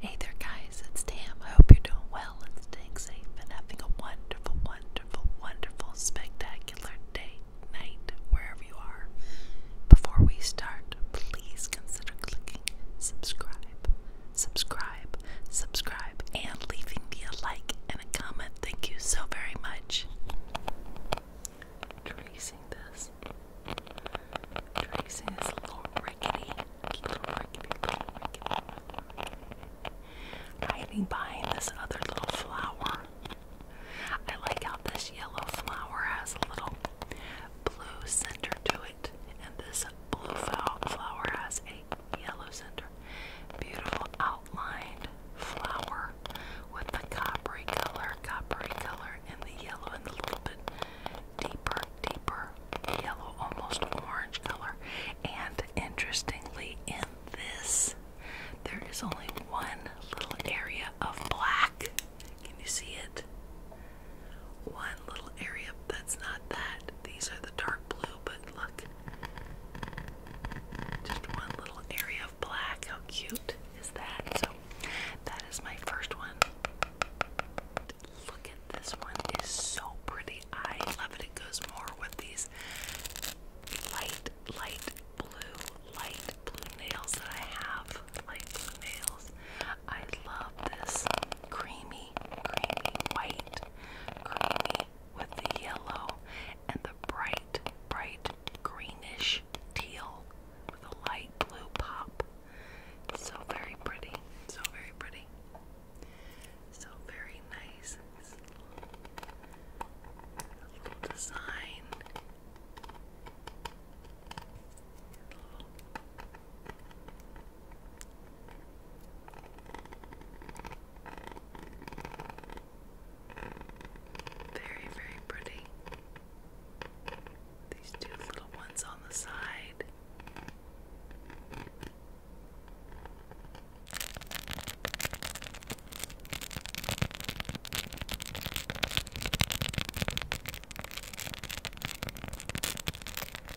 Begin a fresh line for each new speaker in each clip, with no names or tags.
Hey there, guys, it's Tam. I hope you're doing well and staying safe and having a wonderful, wonderful, wonderful, spectacular day, night, wherever you are. Before we start, please consider clicking subscribe, subscribe, subscribe, and leaving me a like and a comment. Thank you so very much. Tracing this. Tracy is little rickety. Little rickety, little rickety. Hiding behind this other little flower. I like how this yellow flower has a little blue center to it, and this blue flower has a yellow center. Beautiful outlined flower with the coppery color, coppery color, and the yellow, and the little bit deeper, deeper yellow, almost orange color. And interestingly, in this, there is only one little area of black. Can you see it? One little area that's not that. These are the dark blue, but look. Just one little area of black. How cute is that? So, that is my first one. Look at this one, is so pretty. I love it. It goes more with these light, light blue, light blue nails that I have. Light blue nails. I love this creamy, creamy white, creamy with the yellow and the bright, bright greenish teal with a light blue pop. So very pretty. So very pretty. So very nice. little design. very, very pretty these two little ones on the side.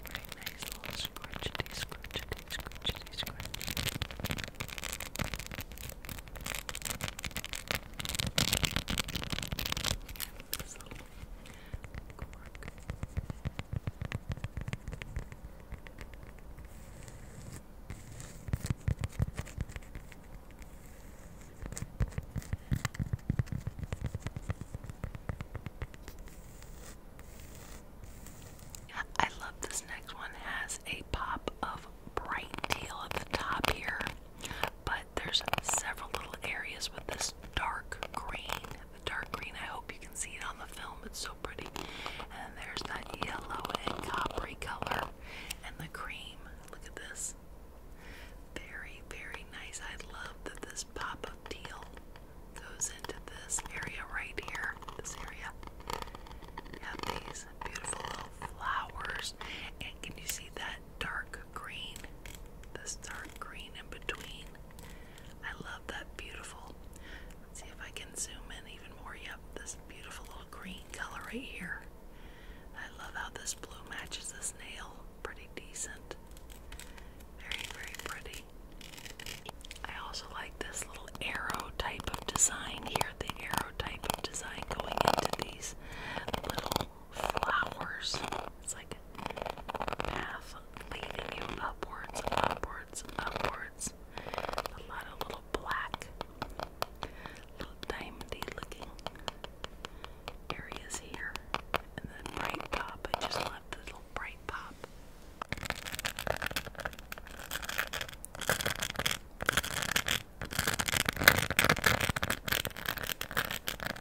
Very nice little scratchety, scratchety, scratchety, I love this next one. has a pop of bright teal at the top here, but there's several little areas with this dark green. The dark green, I hope you can see it on the film, it's so pretty. And there's that yellow and coppery color and the cream. Look at this. Very, very nice. I love that this pop of teal goes into this area right here. This area. You have these beautiful little flowers. And can you see that dark green, this dark green in between. I love that beautiful. Let's see if I can zoom in even more. Yep, this beautiful little green color right here. I love how this blue matches this nail. Pretty decent. Very, very pretty. I also like this little arrow type of design here. The arrow type of design going into these little flowers. It's like a path leading you upwards, upwards, upwards. A lot of little black, little diamondy looking areas here. And then bright pop. I just love the little bright pop.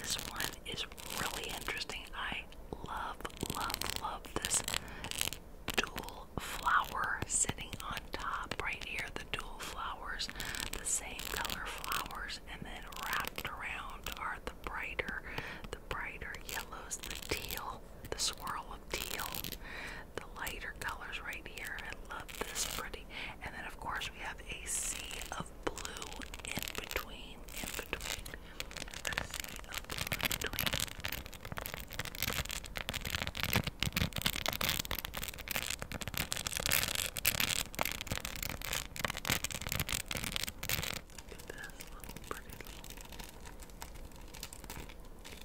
This one is really interesting. I love, love, love this dual flower sitting on top right here. The dual flowers, the same color flowers, and then wrapped around are the brighter the brighter yellows, the teal, the swirl of teal, the lighter colors right here. I love this pretty. And then, of course, we have a sea of blue in between. In between. A sea of in between. Look little pretty little.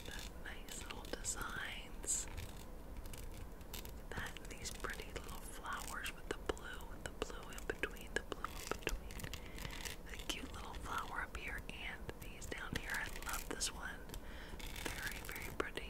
That nice little designs. That these pretty little flowers with the blue, and the blue in between, the blue in between. The cute little flower up here and these down here. I love this one. Very, very pretty.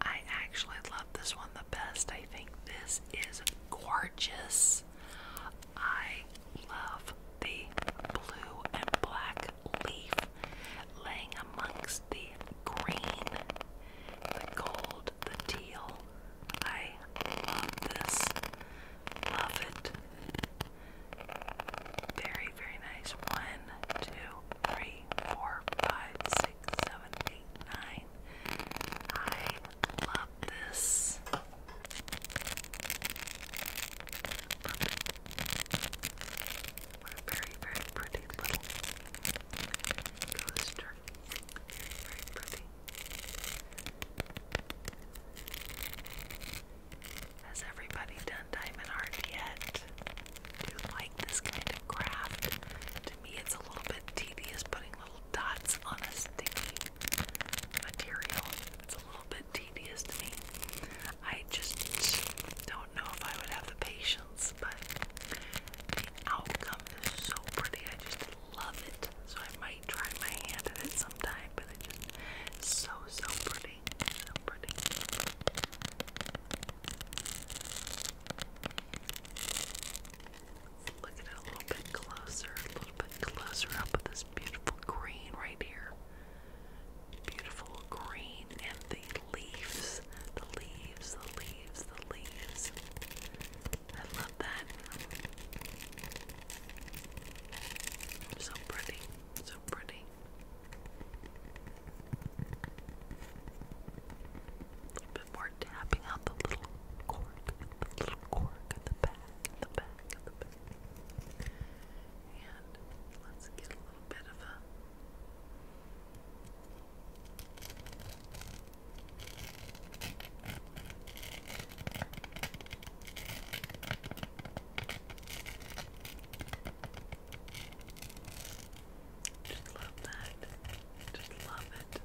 I actually love this one the best. I think this is gorgeous. I love the blue and black leaf laying amongst the green, the gold, teal. I love this. Love it. Very, very nice. One, two, three, four, five, six, seven, eight, nine. I love this. what a very, very pretty little coaster. Has everybody done Diamond Heart yet? Do this kind of craft. To me, it's a little bit tedious putting little dots on a sticky material. It's a little bit tedious to me. I just don't know if I would have the patience, but the outcome is so pretty. I just love it. So I might try my hand at it sometime, but it's just so, so pretty. So pretty. Look at it a little bit closer, a little bit closer up with this beautiful green right here. Beautiful green and the leaves, the leaves, the leaves, the leaves. I love that. So pretty, so pretty bit more tapping out the little cork, the little cork at the back, the back, the back. And let's get a little bit of a just love that. Just love it.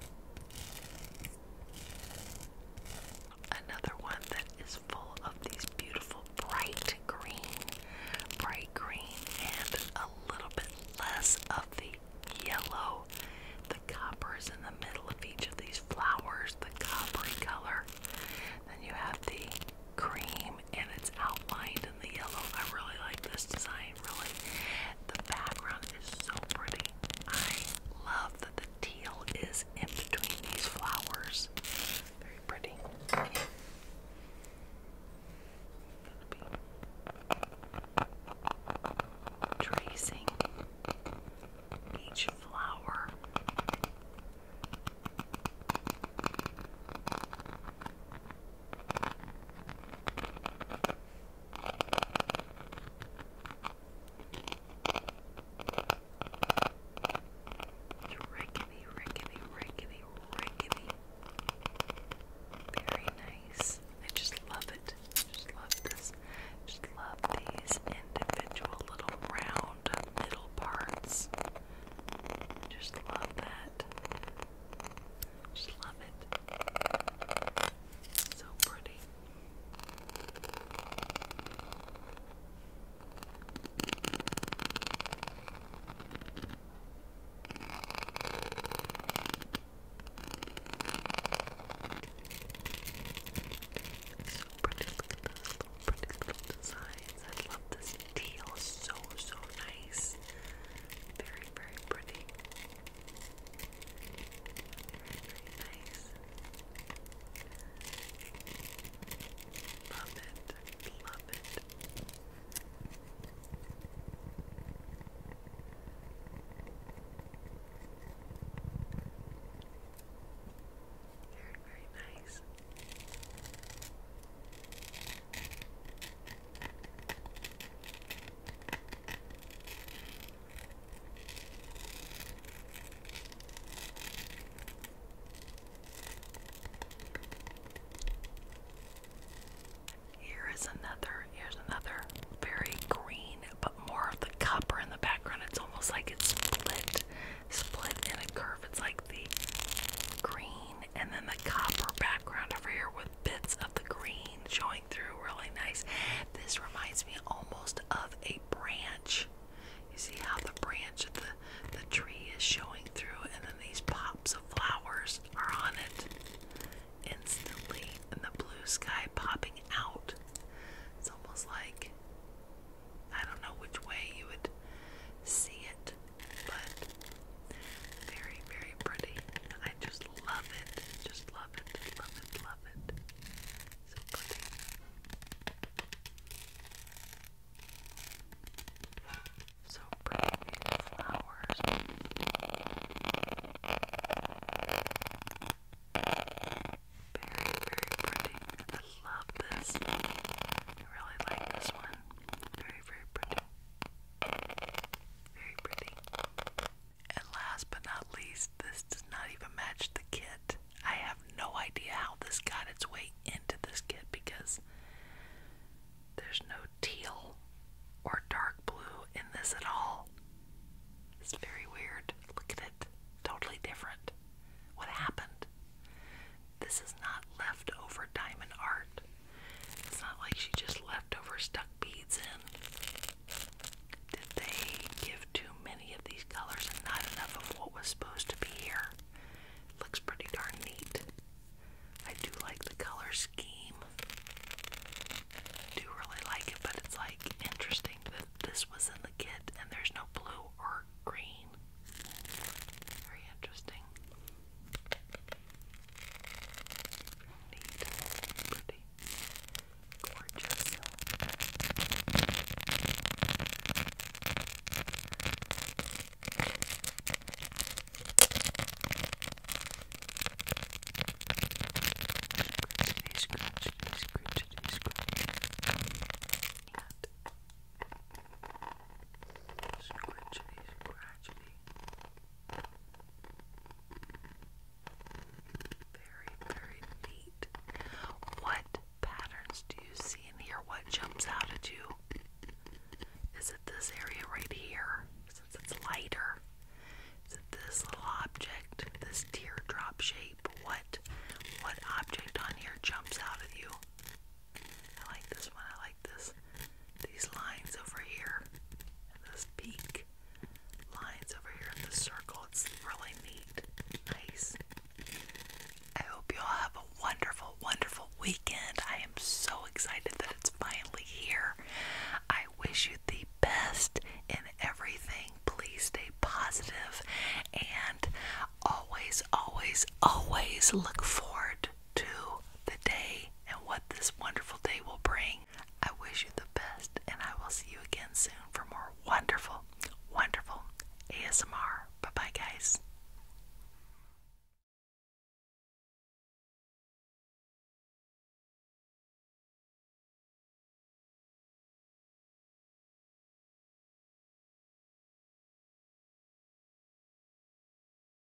Another one that is full of these beautiful bright green, bright green, and a little bit less of the yellow. The copper is in the middle of each of these flowers, the coppery color. Then you have the cream and it's outlined the yellow. I really like this design, really. The background is so pretty. I love that the teal is in between these flowers. Very pretty. Tracing each flower. Rickety, rickety, rickety, rickety. Very nice. I just love it. Just love this. Just love these individual little round middle parts. Just love that. I Just love it. So pretty. So pretty, little pretty I love this teal, so so nice. Very, very pretty. Very nice. Love it. Love it. Very, very nice. Here is another, here's another very green, but more of the copper in the background. It's almost like it's split, split in a curve. It's like the green and then the copper background over here with bits of the green showing through really nice. This reminds me almost of a branch. You see how the branch of the, the tree is showing through, and then these pops of flowers are on it instantly, and the blue sky popping out. It's almost like I don't know which way you would see it but very, very pretty. I just love it. Just love it. Love it. Love it. So pretty. So pretty flowers. Very, very pretty. I love this. I really like this one. Very, very pretty. Very pretty. And last but not least, this does not even match the kit. I have no idea how this got its way into this kit because there's no teal or dark blue in this at all. It's very weird. Look at it. Totally different. What happened? This is not leftover diamond art. It's not like she just left over stuck beads in. Did they give too many of these colors and not enough of what was supposed to be here? looks pretty darn neat. I do like the color scheme. do really like it, but it's like interesting that this was in the kit and there's no blue or green. Very interesting. Neat, pretty, gorgeous. Scratch, scratch, scratch, scratch. Scratchity, scratchity. Very, very neat. What patterns do you see in here? What jumps out at you? Is it this area right here? Since it's lighter. Is it this little object? This teardrop shape? What what object on here jumps out at you? I like this one. I like this, these lines over here, this peak, lines over here in the circle. It's really neat, nice. I hope you all have a wonderful, wonderful weekend. I am so excited that it's finally here. I wish you the best in everything. Please stay positive and always, always, always look forward to the day and what this wonderful day will bring. I wish you the best, and I will see you again soon for more wonderful, wonderful ASMR. Bye bye, guys.